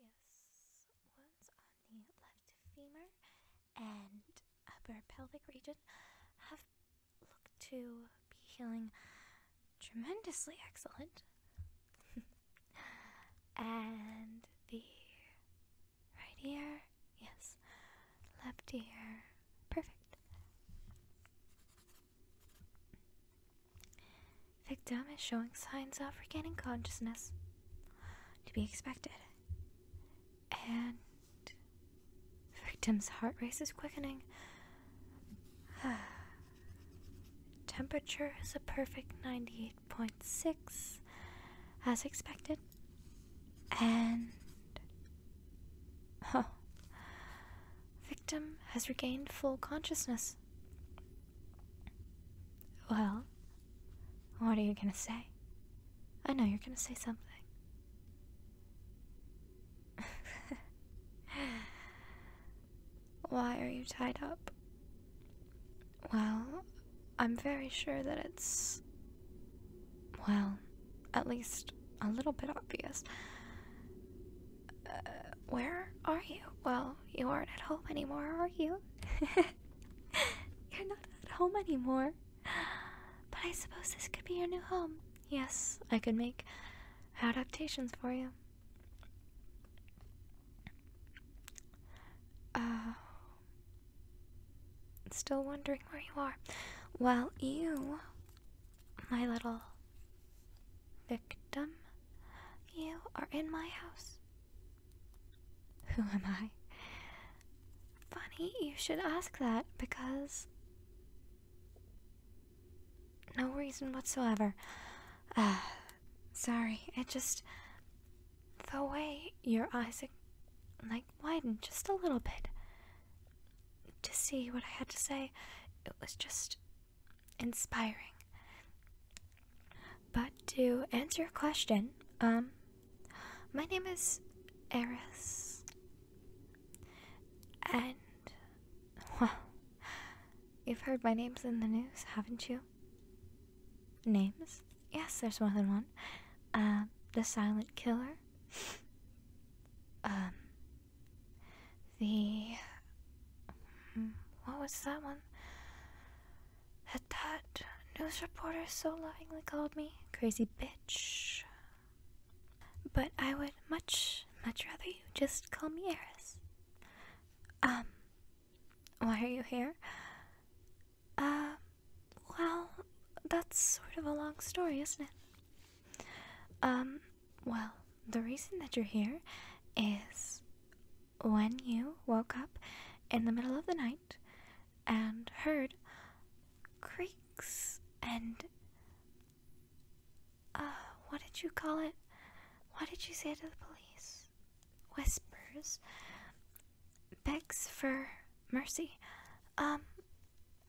Uh, yes, wounds on the left femur and upper pelvic region have looked to be healing tremendously excellent. and the right ear, yes, left ear, perfect. Victim is showing signs of regaining consciousness. To be expected. And. Victim's heart rate is quickening. Temperature is a perfect 98.6, as expected. And. Oh. Victim has regained full consciousness. Well, what are you gonna say? I know you're gonna say something. Why are you tied up? Well, I'm very sure that it's. Well, at least a little bit obvious. Uh, where are you? Well, you aren't at home anymore, are you? You're not at home anymore. But I suppose this could be your new home. Yes, I could make adaptations for you. Uh, still wondering where you are. Well, you, my little victim, you are in my house. Who am I? Funny you should ask that because. No reason whatsoever. Uh, sorry, it just. The way your eyes, like, widened just a little bit to see what I had to say, it was just inspiring. But to answer your question, um, my name is Eris, and well, you've heard my names in the news, haven't you? Names? Yes, there's more than one. Uh, the Silent Killer. um, the hmm, what was that one? At that, news reporters so lovingly called me crazy bitch. But I would much, much rather you just call me Eris. Um, why are you here? Uh, well, that's sort of a long story, isn't it? Um, well, the reason that you're here is when you woke up in the middle of the night and heard creaks and. Uh, what did you call it? What did you say to the police? Whispers. Begs for mercy. Um,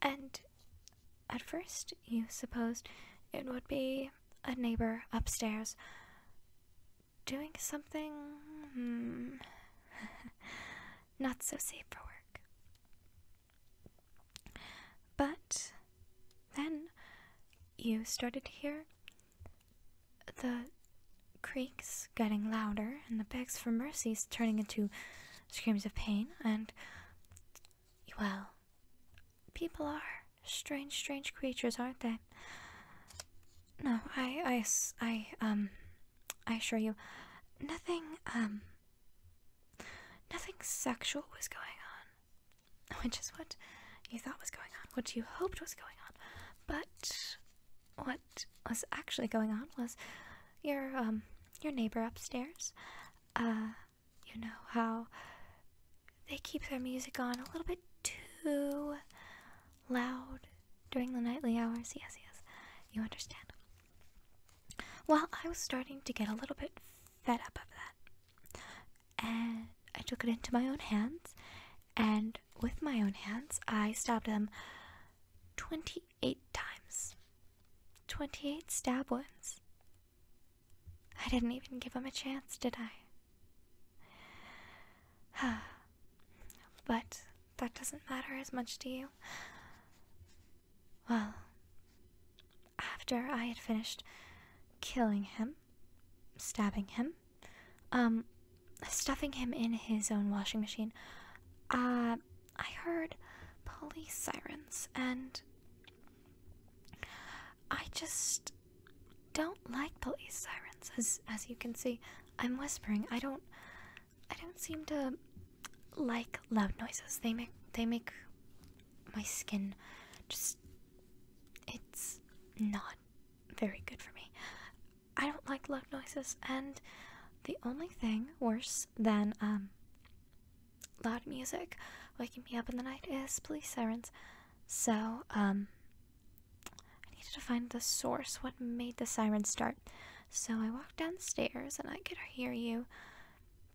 and at first you supposed it would be a neighbor upstairs doing something hmm, not so safe for work. But then you started to hear the creaks getting louder and the begs for mercies turning into screams of pain, and well, people are Strange, strange creatures, aren't they? No, I, I, I, um, I assure you, nothing, um, nothing sexual was going on, which is what you thought was going on, what you hoped was going on, but what was actually going on was your, um, your neighbor upstairs, uh, you know how they keep their music on a little bit too loud during the nightly hours. Yes, yes, you understand. Well, I was starting to get a little bit fed up of that. And I took it into my own hands, and with my own hands, I stabbed them 28 times. 28 stab wounds. I didn't even give him a chance, did I? but that doesn't matter as much to you. Well, after I had finished killing him, stabbing him, um, stuffing him in his own washing machine, uh, I heard police sirens and I just don't like police sirens as as you can see i'm whispering i don't i don't seem to like loud noises they make they make my skin just it's not very good for me i don't like loud noises and the only thing worse than um loud music waking me up in the night is police sirens so um I needed to find the source, what made the siren start. So I walked downstairs and I could hear you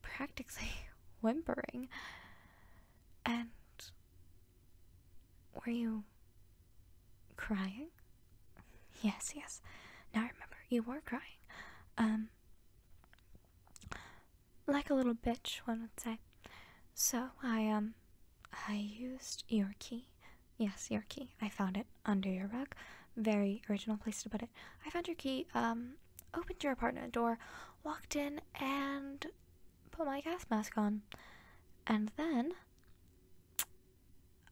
practically whimpering. And were you crying? Yes, yes. Now I remember you were crying. Um like a little bitch, one would say. So I um I used your key. Yes, your key. I found it under your rug. Very original place to put it. I found your key, um, opened your apartment door, walked in, and put my gas mask on. And then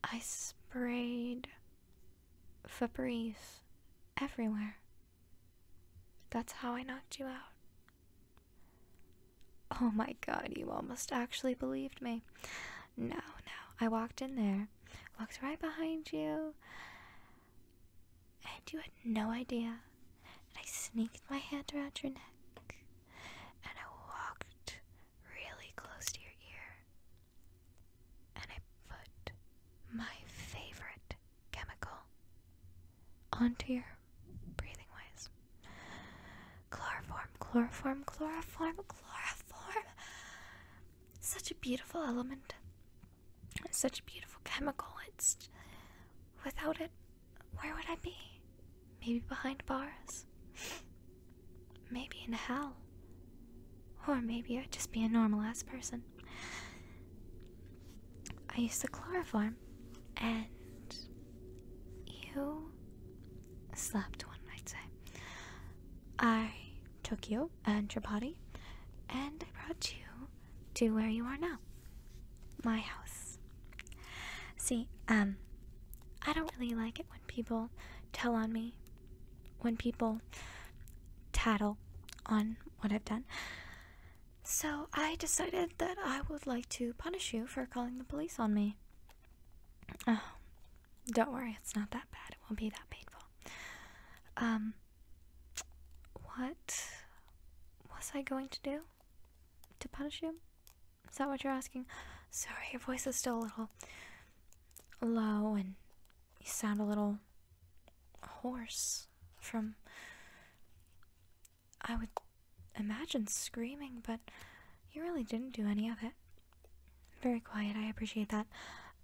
I sprayed Febreze everywhere. That's how I knocked you out. Oh my god, you almost actually believed me. No, no. I walked in there, walked right behind you, and you had no idea. And I sneaked my hand around your neck, and I walked really close to your ear, and I put my favorite chemical onto your breathing ways. Chloroform, chloroform, chloroform, chloroform. Such a beautiful element. Such a beautiful chemical. It's. Without it, where would I be? Maybe behind bars. Maybe in hell. Or maybe I'd just be a normal ass person. I used the chloroform, and you Slapped one might say. I took you and your body, and I brought you to where you are now, my house. See, um, I don't really like it when people tell on me, when people tattle on what I've done. So I decided that I would like to punish you for calling the police on me. Oh, don't worry, it's not that bad. It won't be that painful. Um, what was I going to do? To punish you? Is that what you're asking? Sorry, your voice is still a little low and you sound a little hoarse from. I would Imagine screaming, but you really didn't do any of it. Very quiet, I appreciate that.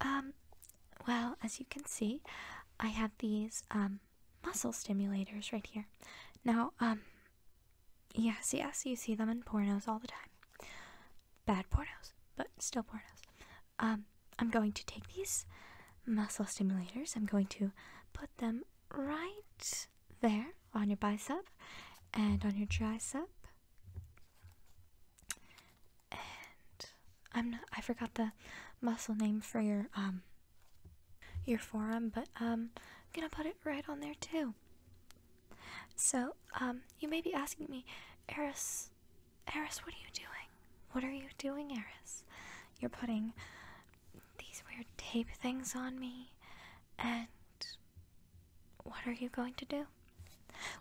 Um, well, as you can see, I have these, um, muscle stimulators right here. Now, um, yes, yes, you see them in pornos all the time. Bad pornos, but still pornos. Um, I'm going to take these muscle stimulators, I'm going to put them right there on your bicep and on your tricep. And I'm I forgot the muscle name for your um your forearm, but um I'm gonna put it right on there too. So, um, you may be asking me, Eris Eris, what are you doing? What are you doing, Eris? You're putting these weird tape things on me and what are you going to do?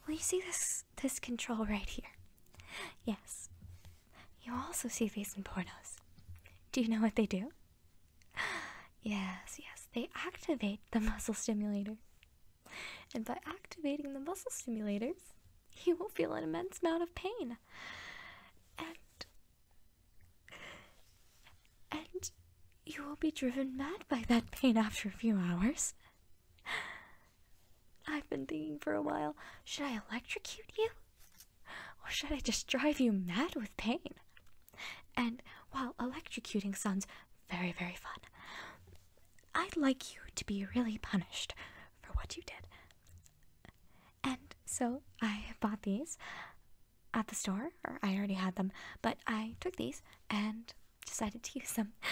Well, you see this this control right here. Yes. You also see these in pornos. Do you know what they do? Yes, yes, they activate the muscle stimulator. And by activating the muscle stimulators, you will feel an immense amount of pain. And and you will be driven mad by that pain after a few hours. I've been thinking for a while should I electrocute you? Or should I just drive you mad with pain? And while electrocuting sounds very, very fun, I'd like you to be really punished for what you did. And so I have bought these at the store, or I already had them, but I took these and decided to use them.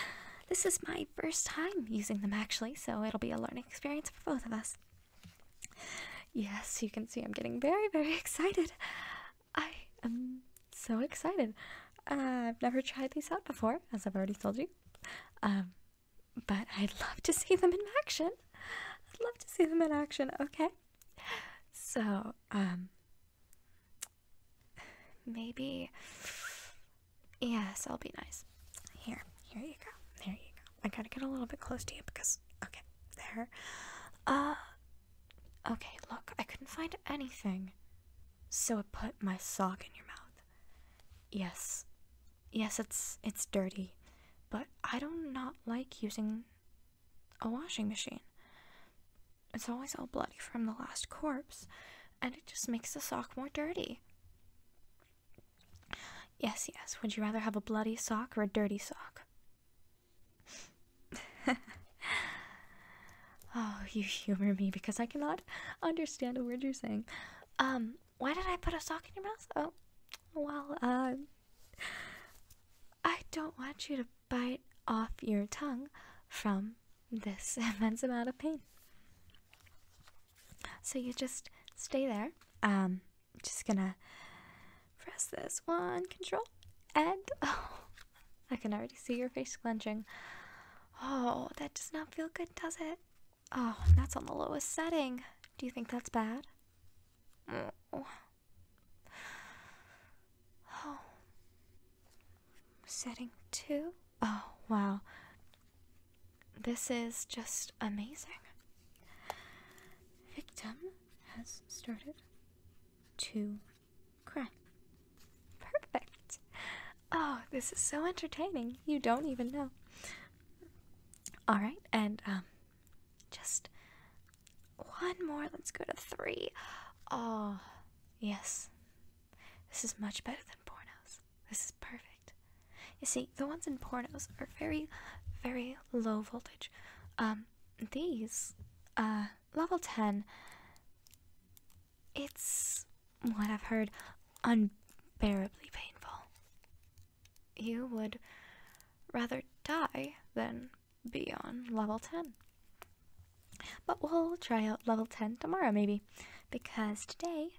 This is my first time using them actually, so it'll be a learning experience for both of us. Yes, you can see I'm getting very, very excited. I am so excited. Uh, I've never tried these out before, as I've already told you. Um, but I'd love to see them in action. I'd love to see them in action. Okay. So, um, Maybe. Yes, I'll be nice. Here, here you go. There you go. I gotta get a little bit close to you because. Okay, there. Uh. Okay, look, I couldn't find anything. So I put my sock in your mouth. Yes. Yes, it's it's dirty, but I do not like using a washing machine. It's always all bloody from the last corpse, and it just makes the sock more dirty. Yes, yes, would you rather have a bloody sock or a dirty sock? oh, you humor me because I cannot understand a word you're saying. Um, why did I put a sock in your mouth? Oh, well, um, I don't want you to bite off your tongue from this immense amount of pain. So you just stay there. Um, just gonna press this one, control, and oh, I can already see your face clenching. Oh, that does not feel good, does it? Oh, that's on the lowest setting. Do you think that's bad? Oh. Oh. Setting two? Oh, wow. This is just amazing. Victim has started to cry. Perfect. Oh, this is so entertaining. You don't even know. Alright, and um, just one more. Let's go to three. Oh, yes. This is much better than pornos. This is perfect. You see, the ones in pornos are very, very low voltage. Um, these, uh, level 10, it's what I've heard unbearably painful. You would rather die than be on level 10. But we'll try out level 10 tomorrow, maybe. Because today,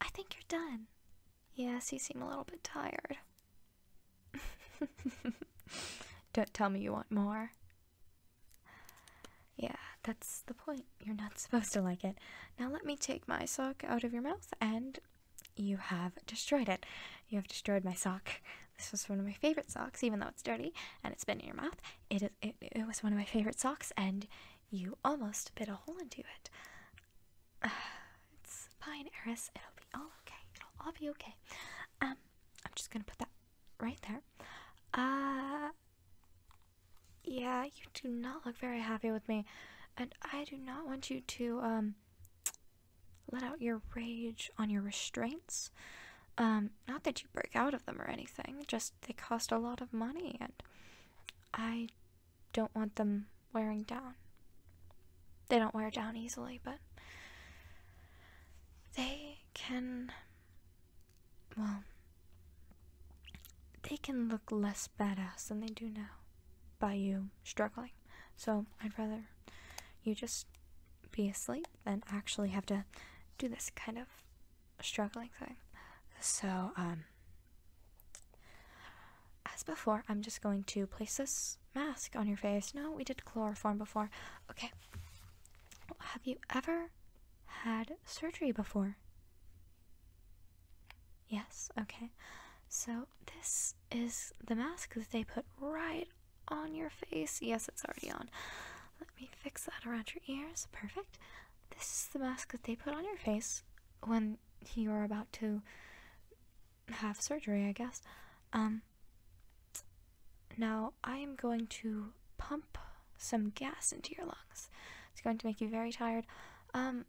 I think you're done. Yes, you seem a little bit tired. Don't tell me you want more. Yeah, that's the point. You're not supposed to like it. Now let me take my sock out of your mouth and you have destroyed it. You have destroyed my sock. This was one of my favorite socks, even though it's dirty and it's been in your mouth. It, it, was one of my favorite socks, and you almost bit a hole into it. it's fine, Eris. It'll be all okay. It'll all be okay. Um, I'm just gonna put that right there. Uh, yeah, you do not look very happy with me, and I do not want you to, um, let out your rage on your restraints. Um, not that you break out of them or anything, just they cost a lot of money, and I don't want them wearing down. They don't wear down easily, but they can. Well, they can look less badass than they do now by you struggling. So I'd rather you just be asleep sleep and actually have to do this kind of struggling thing. So, um, as before, I'm just going to place this mask on your face. No, we did chloroform before. Okay. Have you ever had surgery before? Yes, okay. So, this is the mask that they put right on your face. Yes, it's already on. Let me fix that around your ears. Perfect. This is the mask that they put on your face when you're about to have surgery, I guess. Um, now I am going to pump some gas into your lungs. It's going to make you very tired. Um,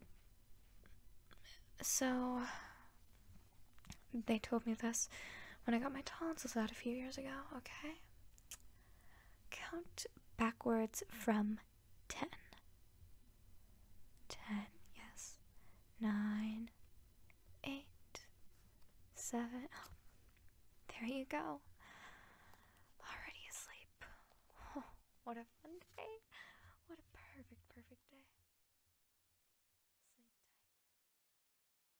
so they told me this when I got my tonsils out a few years ago, okay? Count backwards from 10. 10, yes. 9, 8, 7. there you go. Already asleep. what a fun day. What a perfect, perfect day. Sleep tight.